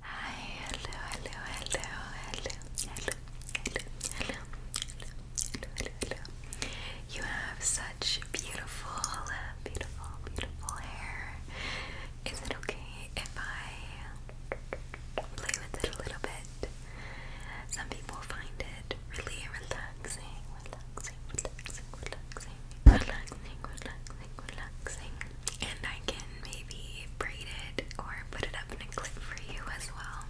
Hi, hello, hello, hello, hello, hello, hello, hello, hello, hello, hello. You have such beautiful, beautiful, beautiful hair. Is it okay if I play with it a little bit? Some people find it really relaxing, relaxing, relaxing, relaxing, relaxing, relaxing, and I can maybe braid it or put it up in a clip for you as well.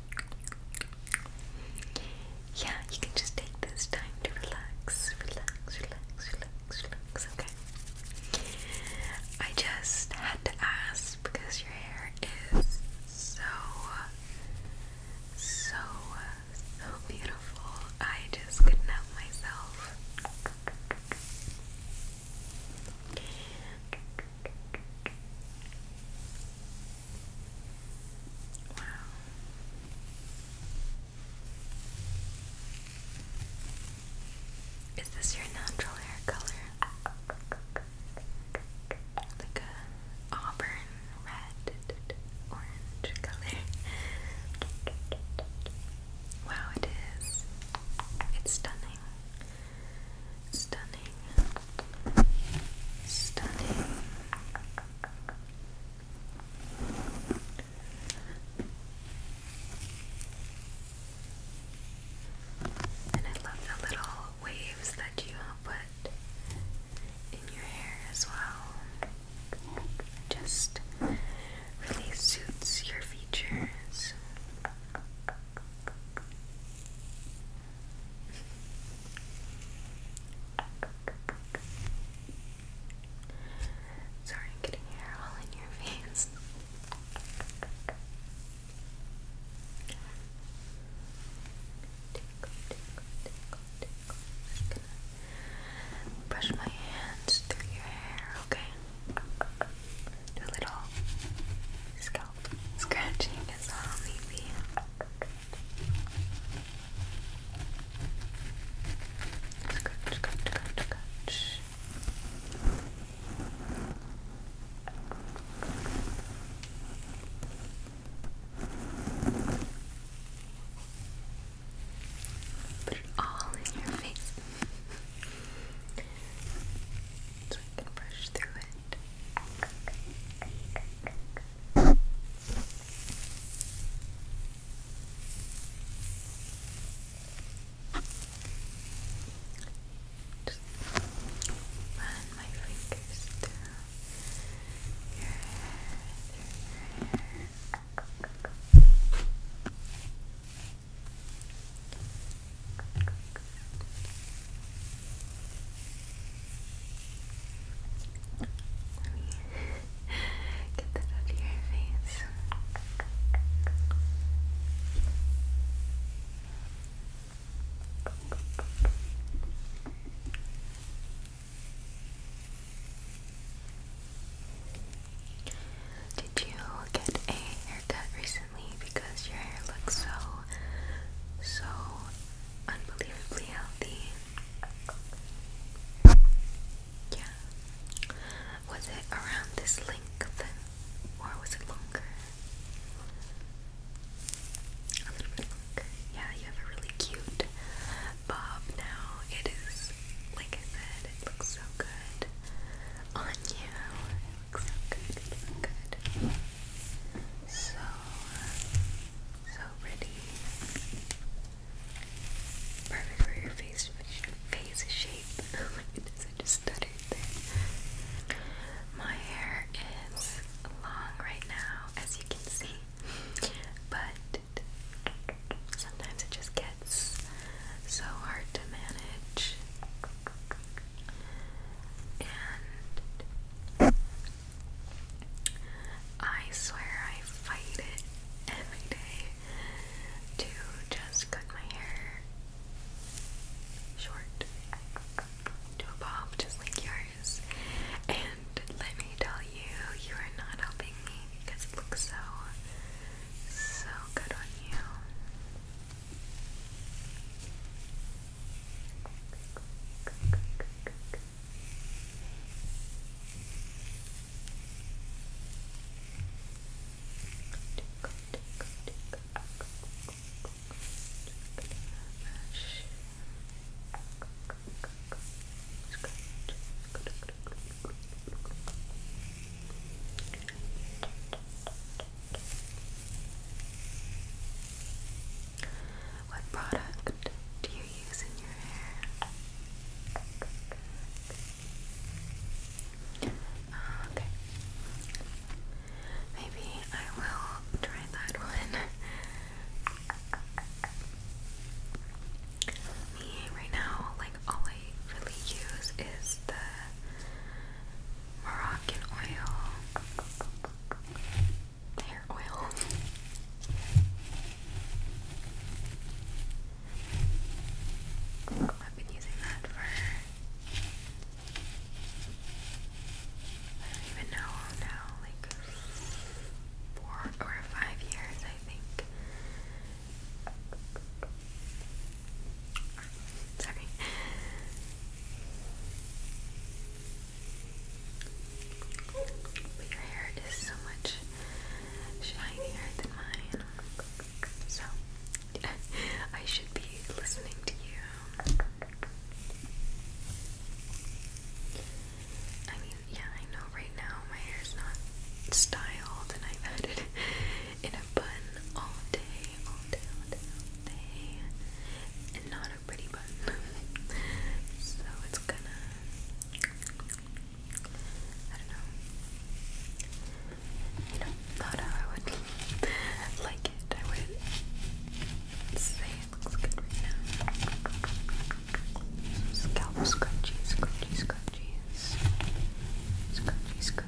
Yeah, you can just take this time to relax, relax, relax, relax, relax, okay? I just had to ask because your hair is so, so, so beautiful. I just couldn't myself. Is this your natural hair color? Like a auburn, red, orange color. Wow, it is. It's stunning. Stunning. Stunning. And I love the little waves that you put in your hair as well. Just really suits your features. Sorry, getting hair all in your face. Tickle, tickle, tickle, tickle. just gonna brush my hands through your hair, okay? do a little scalp scratching as well, maybe. Scratch, scratch, scratch, scratch. Put it all in your face so I can brush through it. Just run my fingers through your hair, let me get that out your face. Did you get a haircut recently? Because your hair looks so, so unbelievably healthy. Yeah. Was it around this length? Or was it longer? A little bit longer. Yeah, you have a really cute bob now. It is, like I said, it looks so good on you. It looks so good. So, uh, so pretty. Perfect for your face, face shape. Oh my goodness, I just stuttered My hair is long right now, as you can see, but sometimes it just gets so hard to manage. And I swear I fight it every day to just cut my hair short to a just like yours. And let me tell you, you are not helping me because it looks so so good on you. What product do you use in your hair? okay. Maybe I will try that one. Me right now, like all I really use is the Moroccan oil, hair oil. I've been using that for I don't even know now, like four or five years, I think. Sorry. But your hair is so much shinier than mine. So, I should be listening to you. I mean, yeah, I know right now my hair's not styled and I've had it in a bun all day, all day, all day, all day, and not a pretty bun. so it's gonna, I don't know, you know, not how I would like it. I would say it looks good right now. Scalp scrunchies, scrunchies, scrunchies, scrunchies, scrunchies,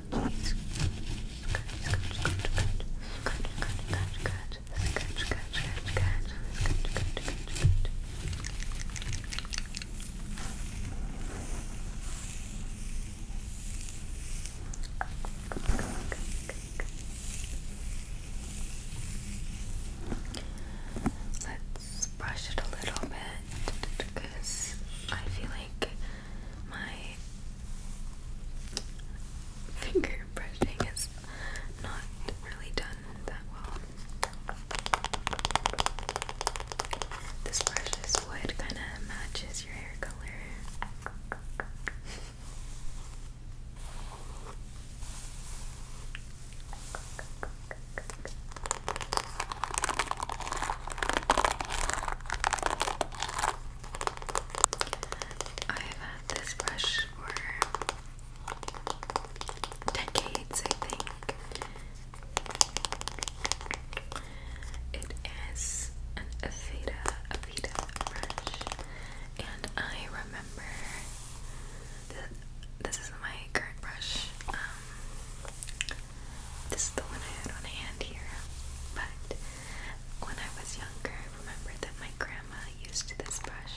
Let's brush it a little bit because I feel like my finger brushing is not really done that well. This precious wood kind of matches your hair color. I've had this brush for decades, I think. It is an Aveda, Aveda brush, and I remember that this is my current brush. Um, this is the one I had on hand here, but when I was younger, I remember that my grandma used this brush,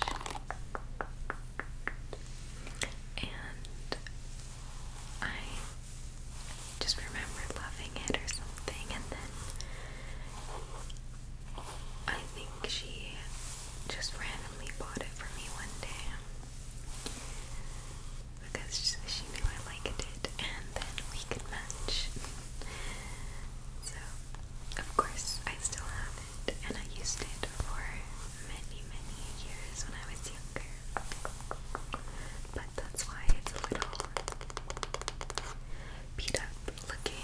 and I just remember loving it or something, and then I think she just randomly bought it for me one day because she knew I liked it and then we could match. so, of course, I still have it and I used it for many, many years when I was younger. But that's why it's a little beat looking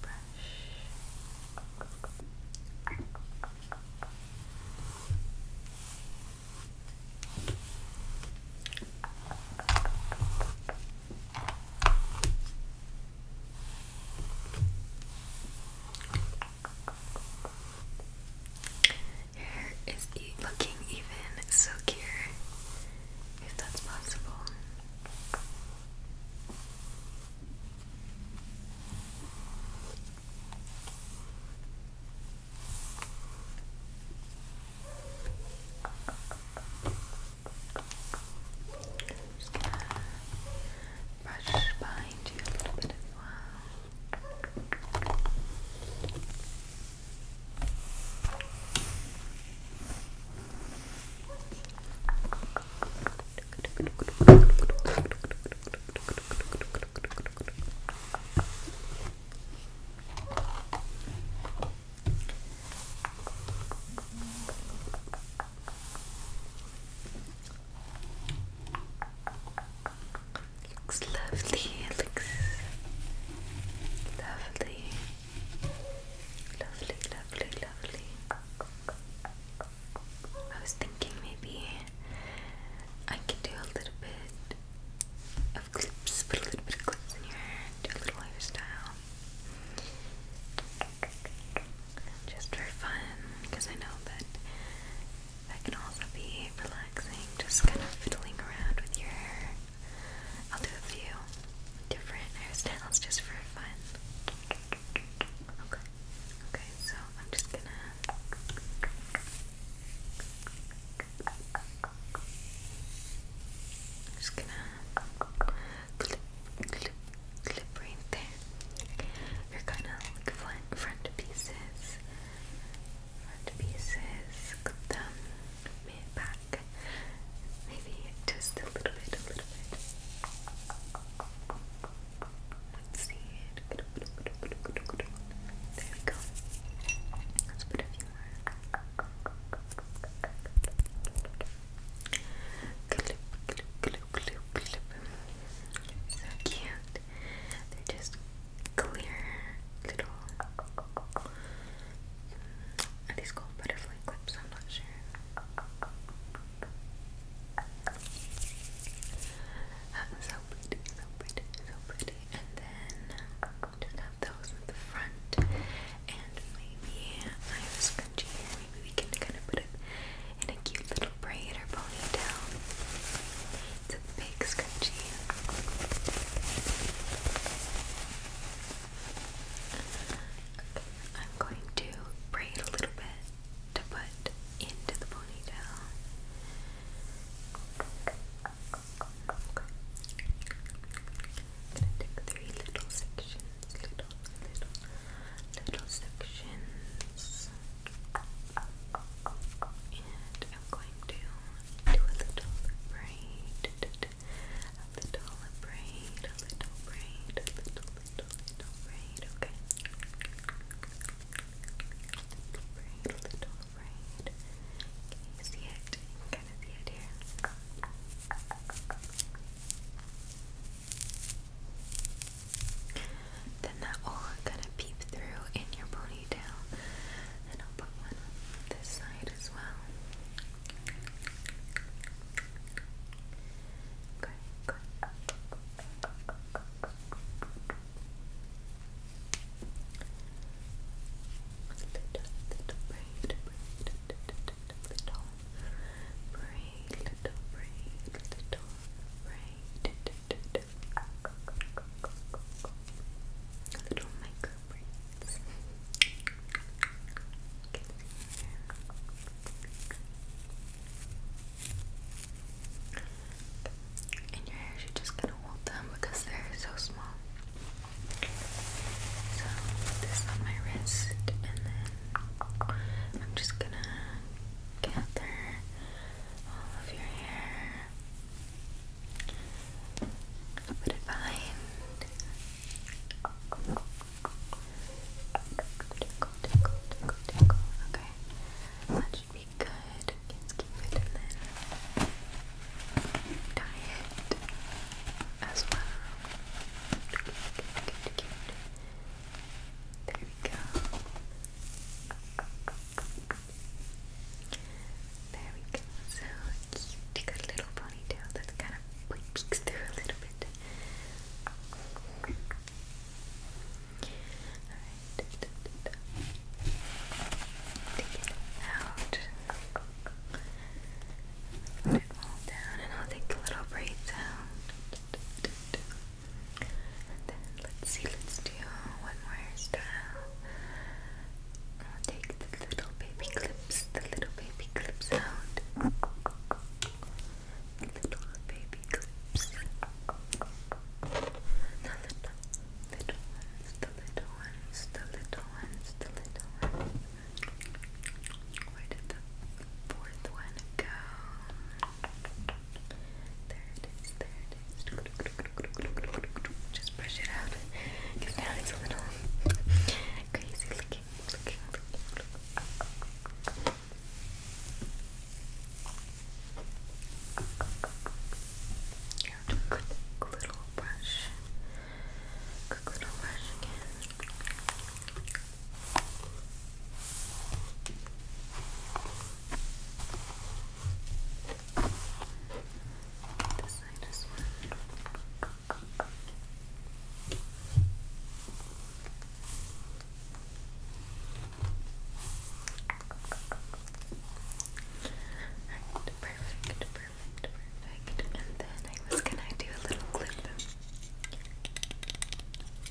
brush. hair is looking even silkier, if that's possible. Just gonna brush behind you a little bit as well. Okay. Looks lovely, it looks lovely. Lovely, lovely, lovely. I was thinking maybe I could do a little bit of clips, put a little bit of clips in your hair, do a little hairstyle. Just for fun, because I know that that can also be relaxing, just kind of fiddling around with your hair. I'll do a few different hairstyles just for fun. Okay. Okay, so I'm just gonna just gonna clip, clip, clip right there. You're gonna like front, front pieces, front pieces, clip them, mid back, Maybe just a little bit, a little bit. Let's see it. There we go. Let's put a few more. So cute. They're just clear little these called butterfly clips? I'm not sure. Uh, so pretty, so pretty, so pretty. And then um, just have those in the front. And maybe uh, I have a scrunchie Maybe we can kind of put it in a cute little braid or ponytail. It's a big scrunchie. I'm going to braid a little bit to put into the ponytail. I'm gonna take three little sections, little, little, little sections, and I'm going to do a little braid a little braid, a little braid, a little, little, little braid, okay? Little braid, a little braid. Can you see it? Can you see it here? Then that will kind of peep through in your ponytail. And I'll put one on this side as well. Okay, Little, little braid, braid, little braid, little braid, little braid, little micro braids. And your hairs, you're just gonna hold them because they're so small. So, this on my wrist, and then I'm just gonna gather all of your hair, put it behind. Tickle, Okay. That should be good. Let's keep it and then tie as well. There we go. There we go. So cute. a little ponytail that kind of peeks through a little bit out. Put it all down, and I'll take a little braid down. And then let's see, let's do one more hairstyle. I'll take the little baby clips, the little baby clips out little baby clips. The little, little the little ones, the little ones, the little ones. Where did the fourth one go? There it is, there it is. Just brush it out because now it's a little crazy looking looking you. little brush. Quick little brush This one. Alright, perfect, perfect, perfect. And then I was gonna do a little clip.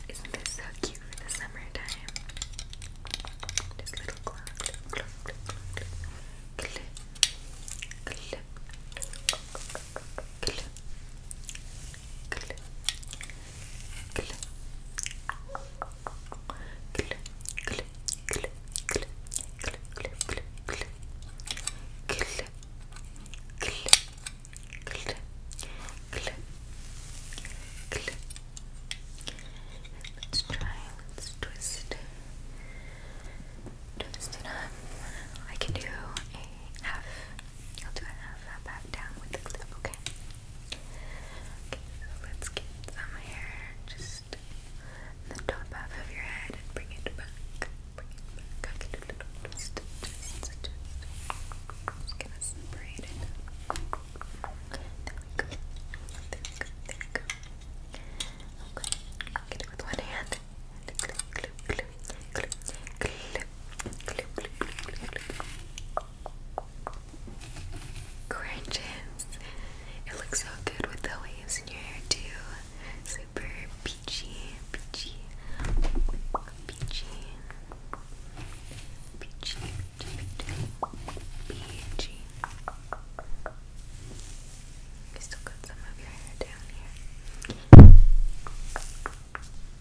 Isn't this so cute for the summertime? Just little clock, clip, clip, clip, Let's try. Let's twist. Twist it up. I can do a half I'll do half that back down with the clip, okay? Okay, let's get some hair just the top half of your head and bring it back. Bring it back. I can Just, just, just. Just gonna separate it. we go. There we go. There we go. Okay, I'll get it with one hand clip, It looks so good with the waves in your hair too. Super peachy, peachy, peachy, peachy, peachy, peachy. still got some of your hair down here.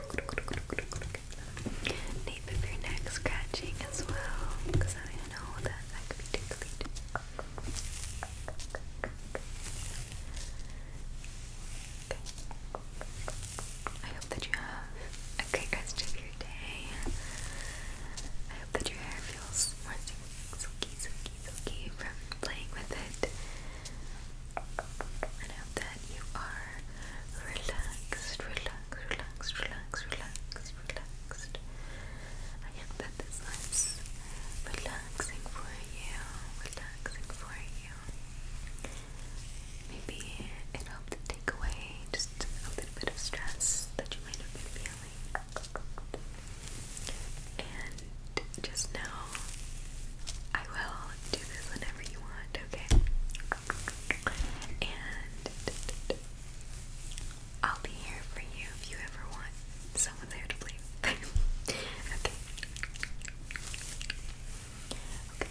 Nate, if your neck's scratching as well, I know that that could be tickly I hope that you have a great rest of your day. I hope that your hair feels more silky, silky, silky from playing with it. And I hope that you are relaxed, relaxed, relaxed, relaxed, relaxed, relaxed. I hope that this was relaxing for you, relaxing for you. Maybe it helped to take away just a little bit of stress that you might have been feeling. And just know I will do this whenever you want, okay? And I'll be here for you if you ever want someone there to play okay. Okay.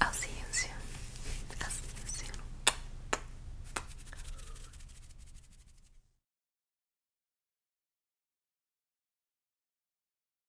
I'll see you soon. I'll see you soon.